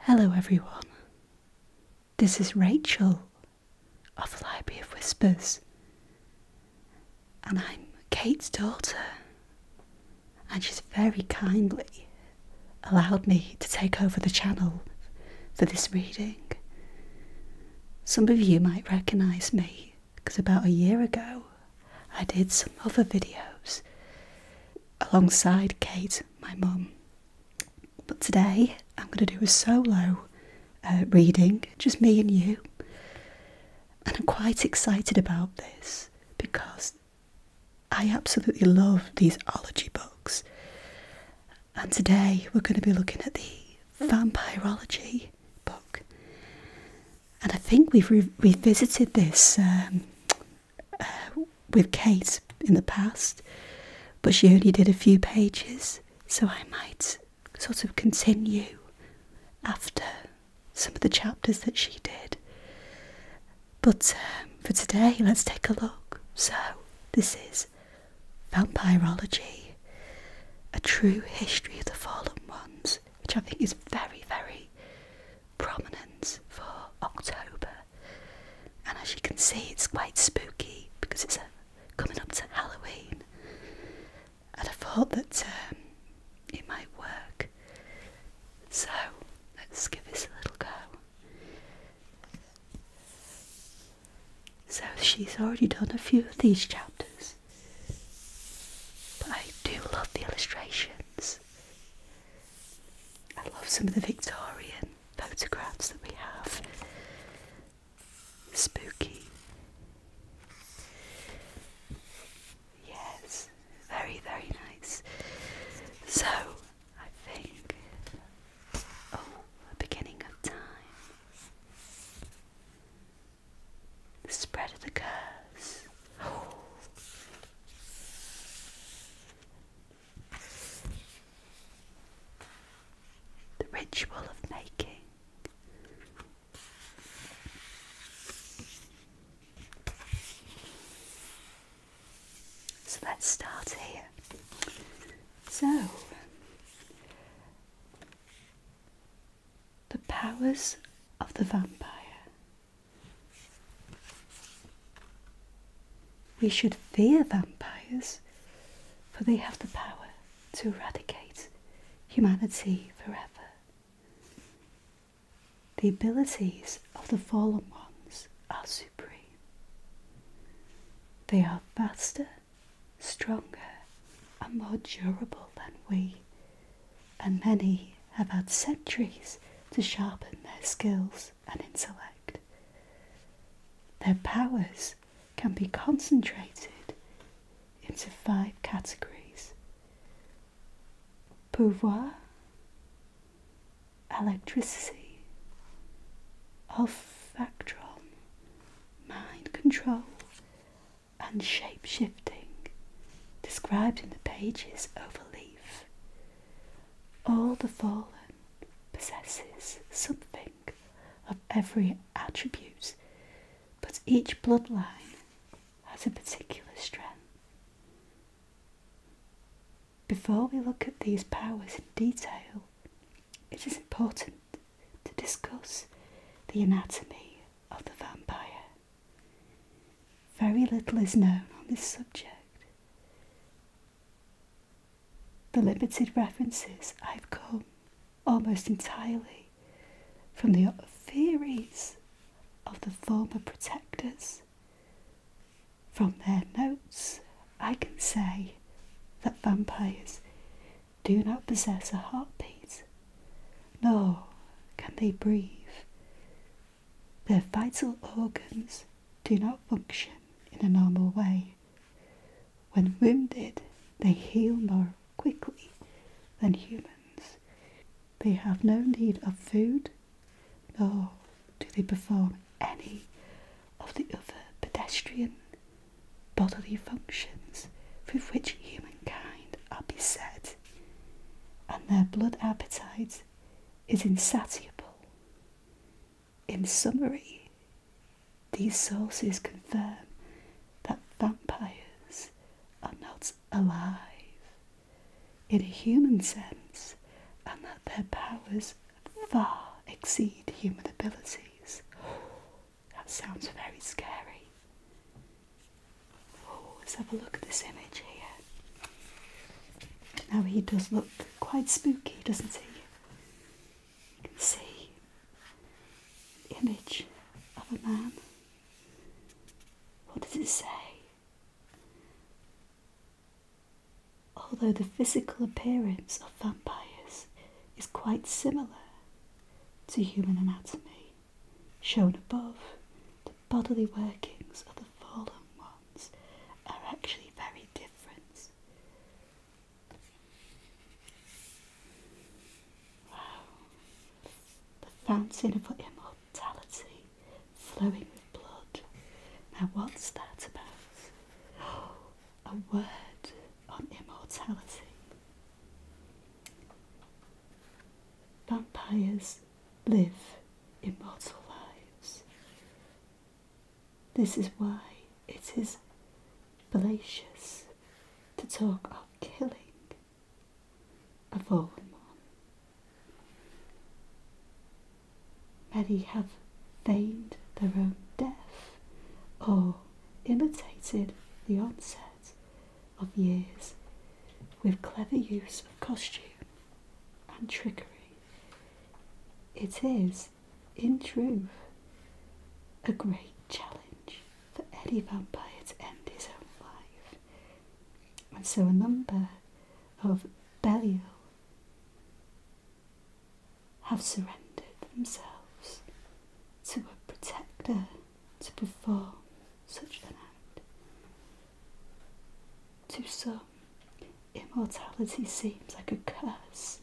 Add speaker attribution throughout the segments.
Speaker 1: Hello, everyone. This is Rachel of the Library of Whispers, and I'm Kate's daughter. And she's very kindly allowed me to take over the channel for this reading. Some of you might recognise me because about a year ago I did some other videos alongside Kate, my mum. But today I'm going to do a solo uh, reading, just me and you. And I'm quite excited about this because I absolutely love these ology books. And today we're going to be looking at the vampirology book. And I think we've revisited this um, with Kate in the past, but she only did a few pages, so I might sort of continue after some of the chapters that she did. But um, for today, let's take a look. So, this is Vampirology, a true history of the fallen ones, which I think is very, very prominence for October. And as you can see, it's quite spooky because it's uh, coming up to Halloween. And I thought that um, it might work. So let's give this a little go. So she's already done a few of these chapters. But I do love the illustrations. I love some of the Victorian photographs that we have. Spooky. Yes, very, very nice. So, I think, oh, the beginning of time. The spread of the curse. The ritual of making. So let's start here. So, the powers of the vampire we should fear vampires, for they have the power to eradicate humanity forever. The abilities of the fallen ones are supreme. They are faster, stronger, and more durable than we, and many have had centuries to sharpen their skills and intellect. Their powers can be concentrated into five categories pouvoir, electricity, olfactron, mind control, and shape shifting, described in the pages overleaf all the fallen possesses something of every attribute, but each bloodline has a particular strength. Before we look at these powers in detail, it is important to discuss the anatomy of the vampire. Very little is known on this subject. The limited references I've come almost entirely from the theories of the former protectors. From their notes, I can say that vampires do not possess a heartbeat, nor can they breathe their vital organs do not function in a normal way. When wounded, they heal more quickly than humans. They have no need of food, nor do they perform any of the other pedestrian bodily functions with which humankind are beset and their blood appetite is insatiable. In summary, these sources confirm that vampires are not alive in a human sense and that their powers far exceed human abilities. That sounds very scary. Oh, let's have a look at this image here. Now he does look quite spooky, doesn't he? You can see the image of a man. What does it say? Although the physical appearance of vampires is quite similar to human anatomy, shown above, the bodily workings of the fallen ones are actually very different. Wow. The fountain of immortality flowing with blood. Now, what's that about? a word on immortality. Vampires live immortal lives. This is why it is fallacious to talk of killing a fallen one. Many have feigned their own death or imitated the onset of years, with clever use of costume and trickery. It is, in truth, a great challenge for any vampire to end his own life. And so a number of Belial have surrendered themselves to a protector to perform such an act. To some, immortality seems like a curse.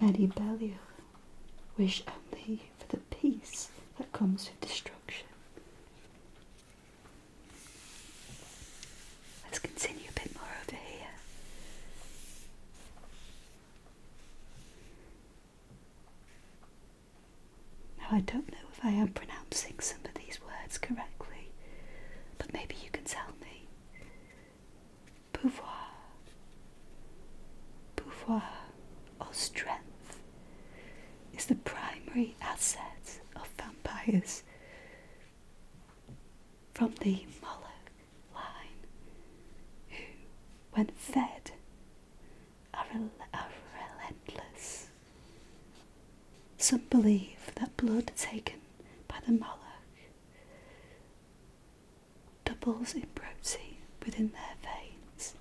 Speaker 1: Many Belial wish only for the peace that comes with destruction. Let's continue a bit more over here. Now, I don't know if I am pronouncing some of these words correctly, but maybe you can tell me. Pouvoir, pouvoir, or strength, is the primary asset of vampires. From the Moloch line, who, when fed, are, relentless. Some believe that blood taken by the Moloch doubles in protein within their veins.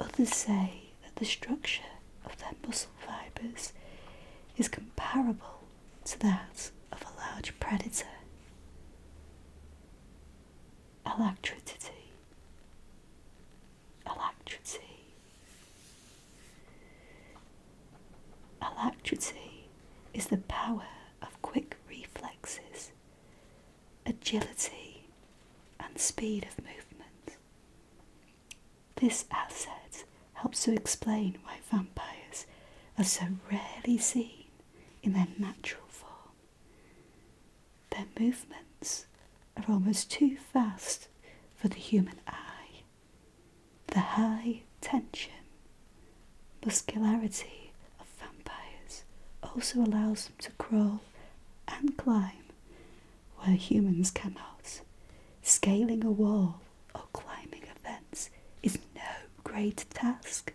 Speaker 1: Others say that the structure of their muscle fibres is comparable to that of a large predator electricity, electricity, electricity is the power of quick reflexes, agility, and speed of movement. This asset helps to explain why vampires are so rarely seen in their natural form. Their movements are almost too fast for the human eye. The high tension, muscularity of vampires also allows them to crawl and climb where humans cannot. Scaling a wall or climbing a fence is no great task.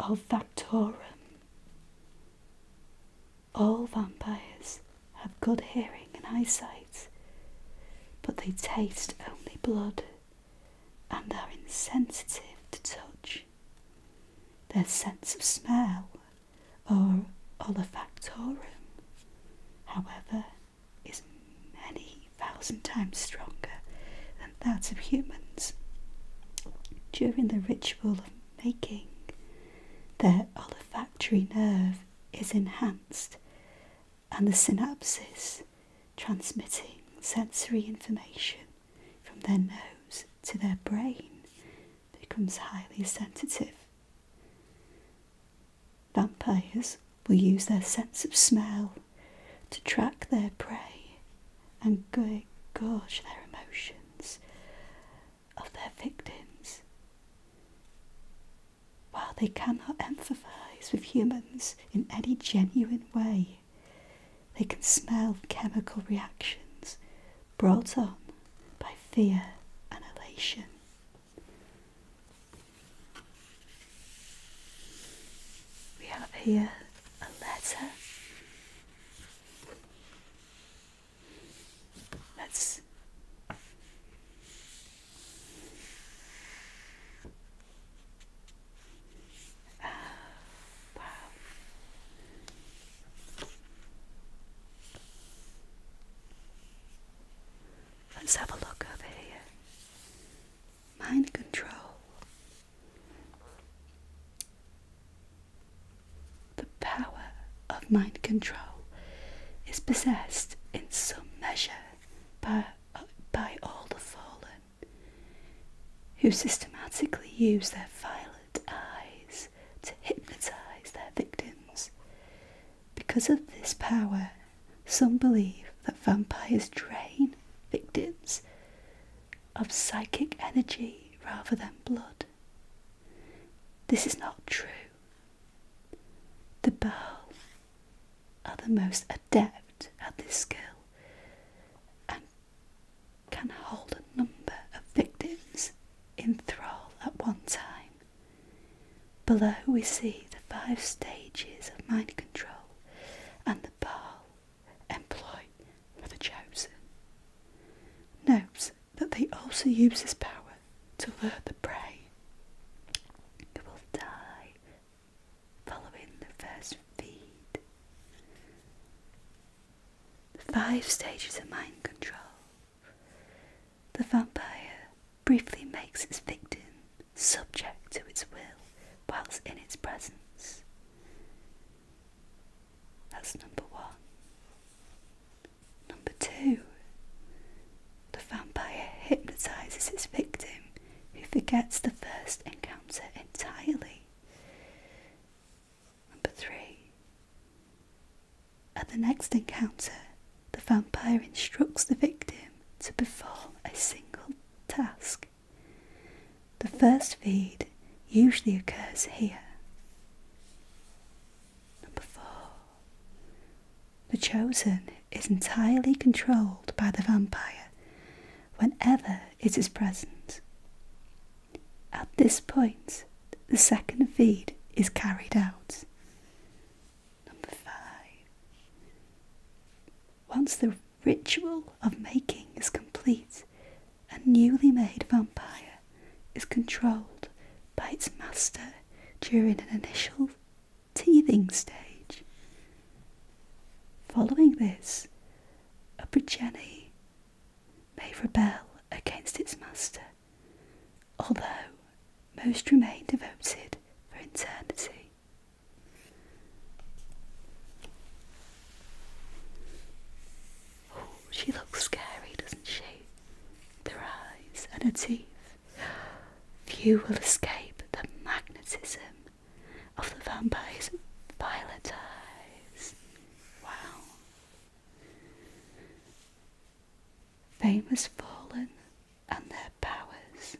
Speaker 1: Olfactorum. All vampires have good hearing and eyesight, but they taste only blood and are insensitive to touch. Their sense of smell, or olfactorum, however, is many Thousand times stronger than that of humans. During the ritual of making, their olfactory nerve is enhanced and the synapses transmitting sensory information from their nose to their brain becomes highly sensitive. Vampires will use their sense of smell to track their prey and gauge their emotions of their victims. While they cannot empathise with humans in any genuine way, they can smell chemical reactions brought on by fear and elation. We have here a letter. Let's wow. Let's have a look over here mind control. The power of mind control is possessed in some measure by, by all the fallen, who systematically use their violet eyes to hypnotize their victims. Because of this power, some believe that vampires drain victims of psychic energy rather than blood. This is not true. The Baal are the most adept at this skill and can hold a number of victims in thrall at one time. Below we see the five stages of mind control and the Baal employ for the chosen. Note that they also use this power to lure the prey who will die following the first feed. The five stages of mind control. The vampire briefly makes its victim subject to its will, whilst in its presence. That's number one. Number two, the vampire hypnotizes its victim who forgets the first encounter entirely. Number three, at the next encounter, the vampire instructs the victim to perform a single task. The first feed usually occurs here. Number four. The chosen is entirely controlled by the vampire whenever it is present. At this point, the second feed is carried out. Number five. Once the ritual of making is complete, a newly made vampire is controlled by its master during an initial teething stage. Following this, a progeny may rebel against its master, although most remain devoted for eternity. she looks scary, doesn't she? her eyes and her teeth. Few will escape the magnetism of the vampire's violet eyes. Wow. Fame has fallen and their powers.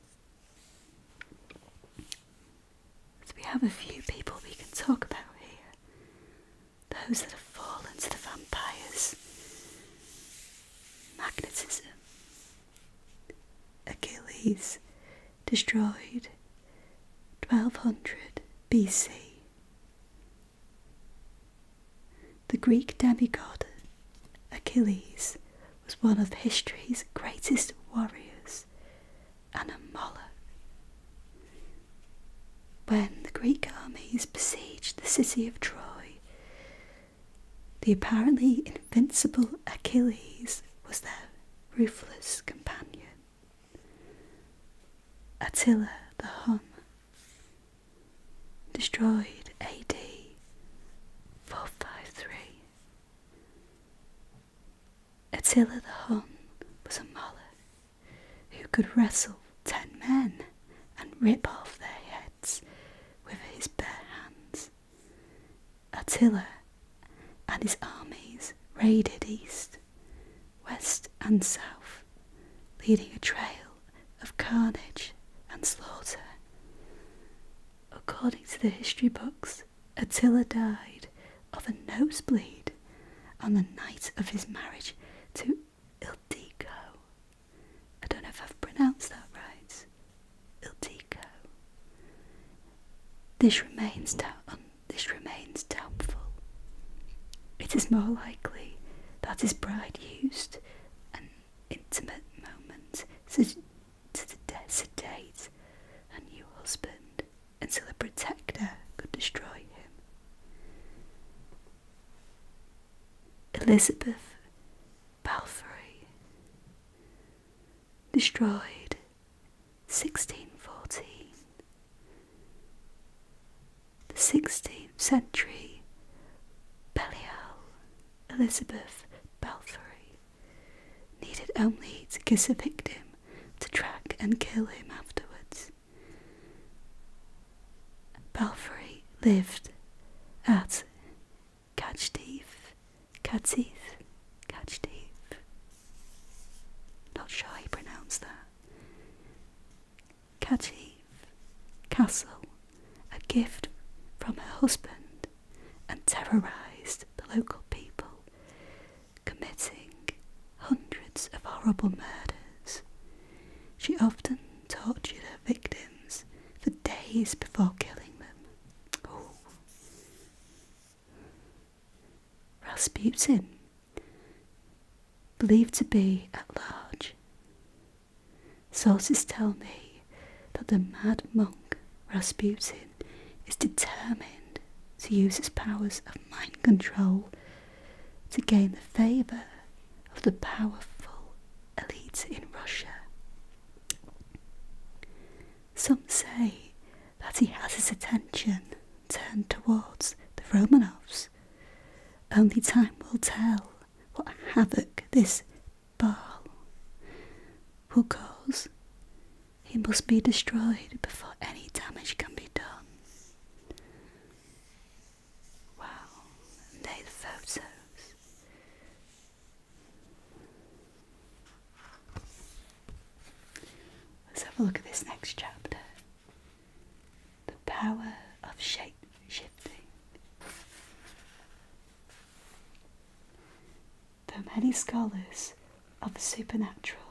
Speaker 1: we have a few people we can talk about here. Those that have fallen to the vampires. Magnetism. Achilles destroyed 1200 BC. The Greek demigod Achilles was one of history's greatest warriors and a Moloch. When the Greek armies besieged the city of Troy, the apparently invincible Achilles was their ruthless companion. Attila the Hun destroyed AD 453. Attila the Hun was a mauler who could wrestle ten men and rip off their heads with his bare hands. Attila and his armies raided east, west, and south, leading a trail of carnage and slaughter. According to the history books, Attila died of a nosebleed on the night of his marriage to Ildeco. I don't know if I've pronounced that right. Ildiko. This remains doubtful. Um, this remains doubtful. It is more likely that his bride used an intimate moment to to the sedate a new husband until a protector could destroy him. Elizabeth Balfour destroyed 1614. The 16th century Belial Elizabeth Balfour needed only to kiss a victim to track and kill him afterwards. Balfour lived at Cajdeef, Cajdeef, Cajdeef. Not sure how pronounced that. Cajdeef Castle a gift from her husband, and terrorised the local people, committing hundreds of horrible murders. She often tortured her victims for days before killing them. Ooh. Rasputin, believed to be at large, Sources tell me that the mad monk Rasputin is determined to use his powers of mind control to gain the favour of the powerful elite in Russia. Some say that he has his attention turned towards the Romanovs. Only time will tell what havoc this Baal, who goes, he must be destroyed before any damage can be done. Wow, and photos. Let's have a look at this next chapter. The power of shape shifting. Though many scholars of the supernatural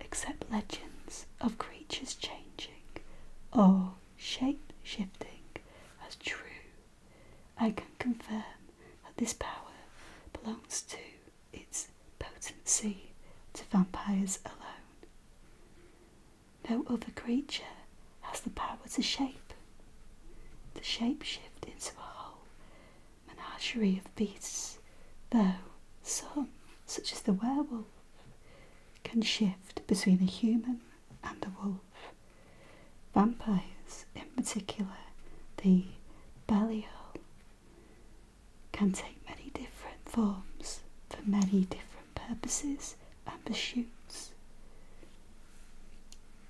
Speaker 1: accept legends of creatures changing or shape shifting as true, I can confirm that this power belongs to its potency to vampires alone. No other creature has the power to shape. to shape shift into a whole menagerie of beasts, though some, such as the werewolf, can shift between a human and a wolf. Vampires, in particular, the Belial, can take many different forms for many different purposes and pursuits.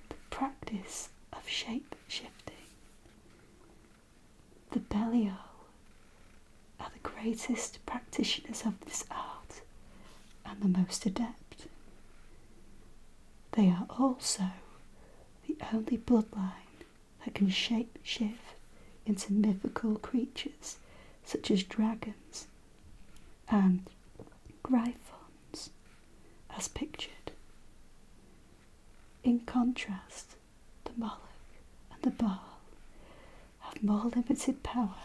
Speaker 1: The practice of shape shifting. The Belial are the greatest practitioners of this art and the most adept. They are also the only bloodline that can shape shift into mythical creatures such as dragons and Gryphons as pictured. In contrast, the Moloch and the Baal have more limited power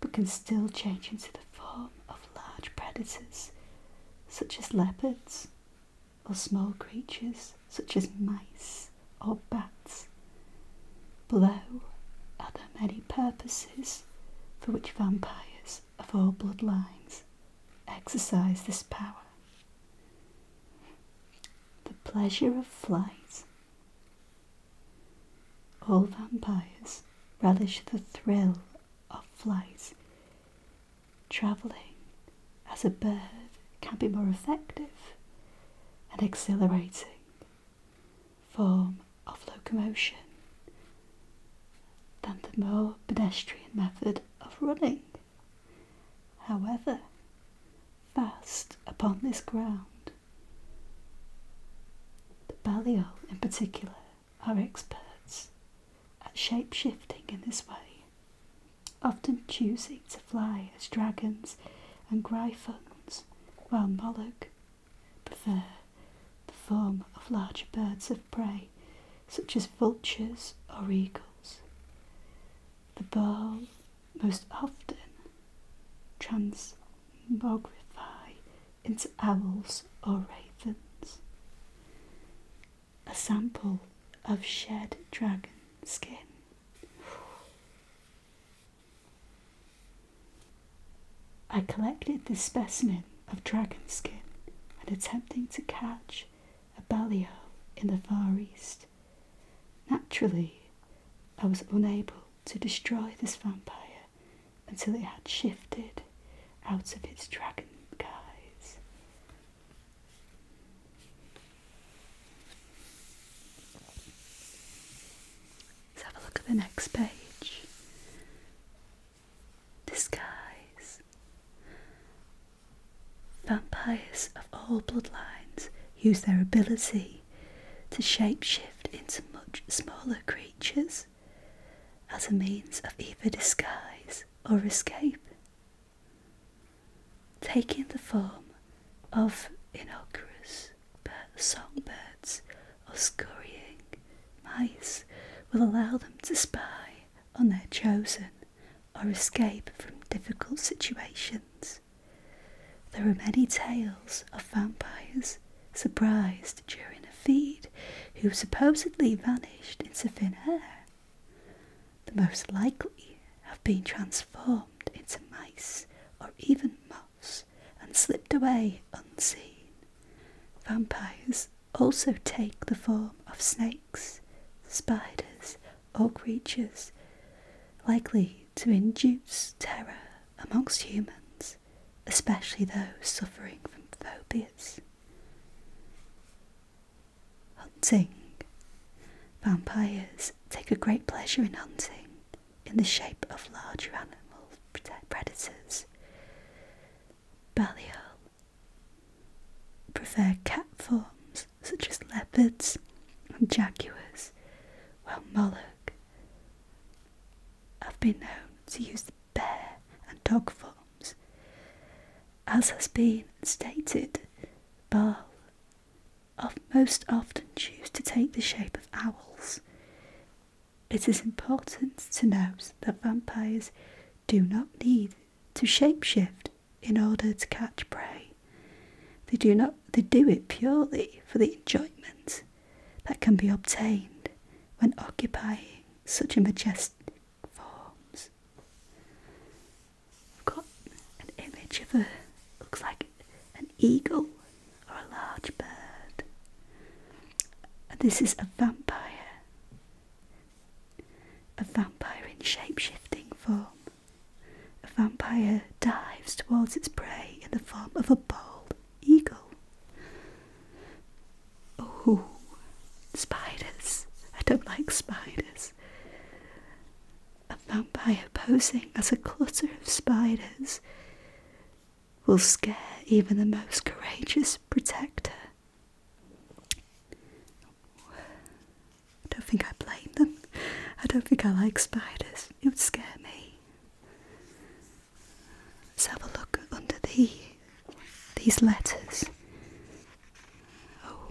Speaker 1: but can still change into the form of large predators such as leopards or small creatures such as mice or bats. Below are the many purposes for which vampires of all bloodlines exercise this power. The pleasure of flight. All vampires relish the thrill of flight. Travelling as a bird can be more effective and exhilarating form of locomotion than the more pedestrian method of running. However, fast upon this ground, the Balliol in particular are experts at shape shifting in this way, often choosing to fly as dragons and gryphons, while Moloch prefer the form of larger birds of prey, such as vultures or eagles. The bird most often transmogrify into owls or ravens. A sample of shed dragon skin I collected this specimen of dragon skin and attempting to catch a balio in the Far East. Naturally, I was unable to destroy this vampire until it had shifted out of its dragon guise. Let's have a look at the next page. Disguise. Vampires of all bloodlines use their ability to shapeshift into much smaller creatures as a means of either disguise or escape, taking the form of Inocrus, but songbirds or scurrying mice will allow them to spy on their chosen or escape from difficult situations. There are many tales of vampires surprised during a feed who supposedly vanished into thin air. The most likely have been transformed into mice or even moths and slipped away unseen. Vampires also take the form of snakes, spiders, or creatures likely to induce terror amongst humans, especially those suffering from phobias. Hunting. Vampires take a great pleasure in hunting, in the shape of larger animal predators. Balliol prefer cat forms such as leopards and jaguars, while Moloch have been known to use the bear and dog forms. As has been stated, Baal most often choose to take the shape of owls. It is important to note that vampires do not need to shapeshift in order to catch prey. They do not they do it purely for the enjoyment that can be obtained when occupying such majestic forms. I've got an image of a looks like an eagle or a large bird. This is a vampire, a vampire in shapeshifting form. A vampire dives towards its prey in the form of a bald eagle. Oh, spiders! I don't like spiders a by posing as a clutter of spiders will scare even the most courageous protector. I don't think I blame them. I don't think I like spiders. It would scare me. Let's have a look under the these letters. Oh.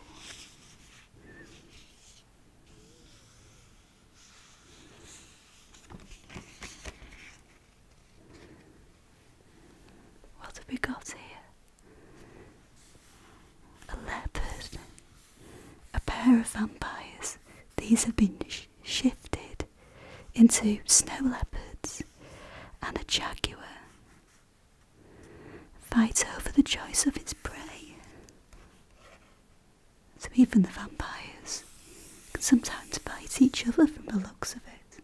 Speaker 1: What have we got here? A leopard, a pair of vampires. These have been shifted into snow leopards and a jaguar. fights over the choice of its prey. So even the vampires can sometimes bite each other from the looks of it.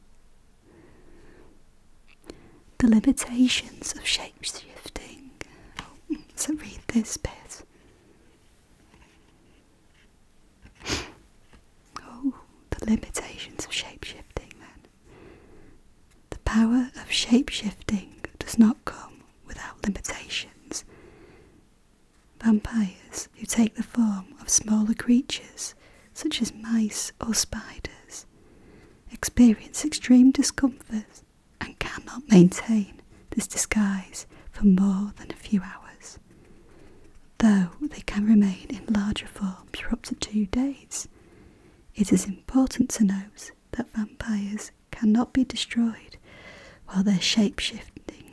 Speaker 1: The limitations of shapeshifting. Oh, so read this bit. Oh, the limitations of shapeshifting then. The power of shapeshifting does not come without limitations, Vampires who take the form of smaller creatures such as mice or spiders experience extreme discomfort and cannot maintain this disguise for more than a few hours, though they can remain in larger forms for up to two days. It is important to note that vampires cannot be destroyed while they're shape-shifting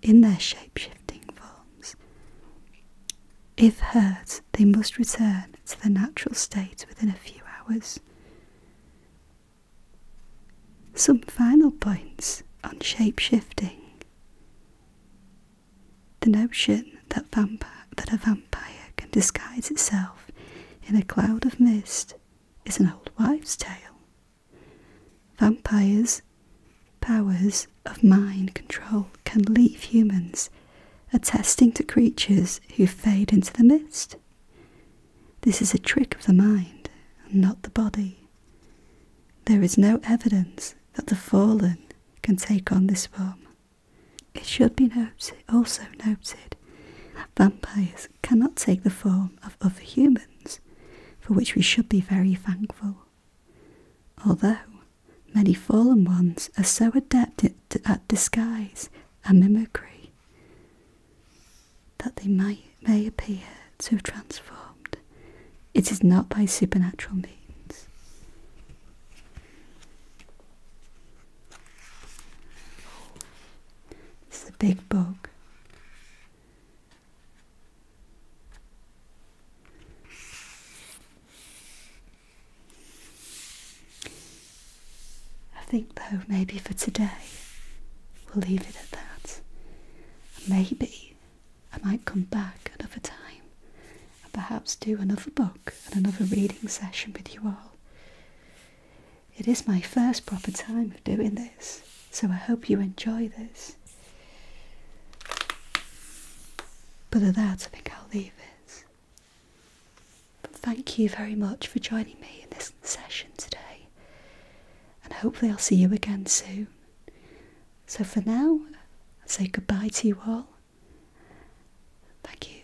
Speaker 1: in their shape-shifting forms. If hurt, they must return to their natural state within a few hours. Some final points on shape-shifting. The notion that, that a vampire can disguise itself in a cloud of mist is an old wives' tale. Vampires' powers of mind control can leave humans, attesting to creatures who fade into the mist. This is a trick of the mind, and not the body. There is no evidence that the fallen can take on this form. It should be noted, also noted that vampires cannot take the form of other humans, for which we should be very thankful. Although many fallen ones are so adept at disguise and mimicry that they may appear to have transformed, it is not by supernatural means. It's a big book. I think though maybe for today we'll leave it at that. Maybe I might come back another time and perhaps do another book and another reading session with you all. It is my first proper time of doing this, so I hope you enjoy this. But at that, I think I'll leave it. But thank you very much for joining me in this session today, and hopefully, I'll see you again soon. So, for now, I say goodbye to you all. Thank you.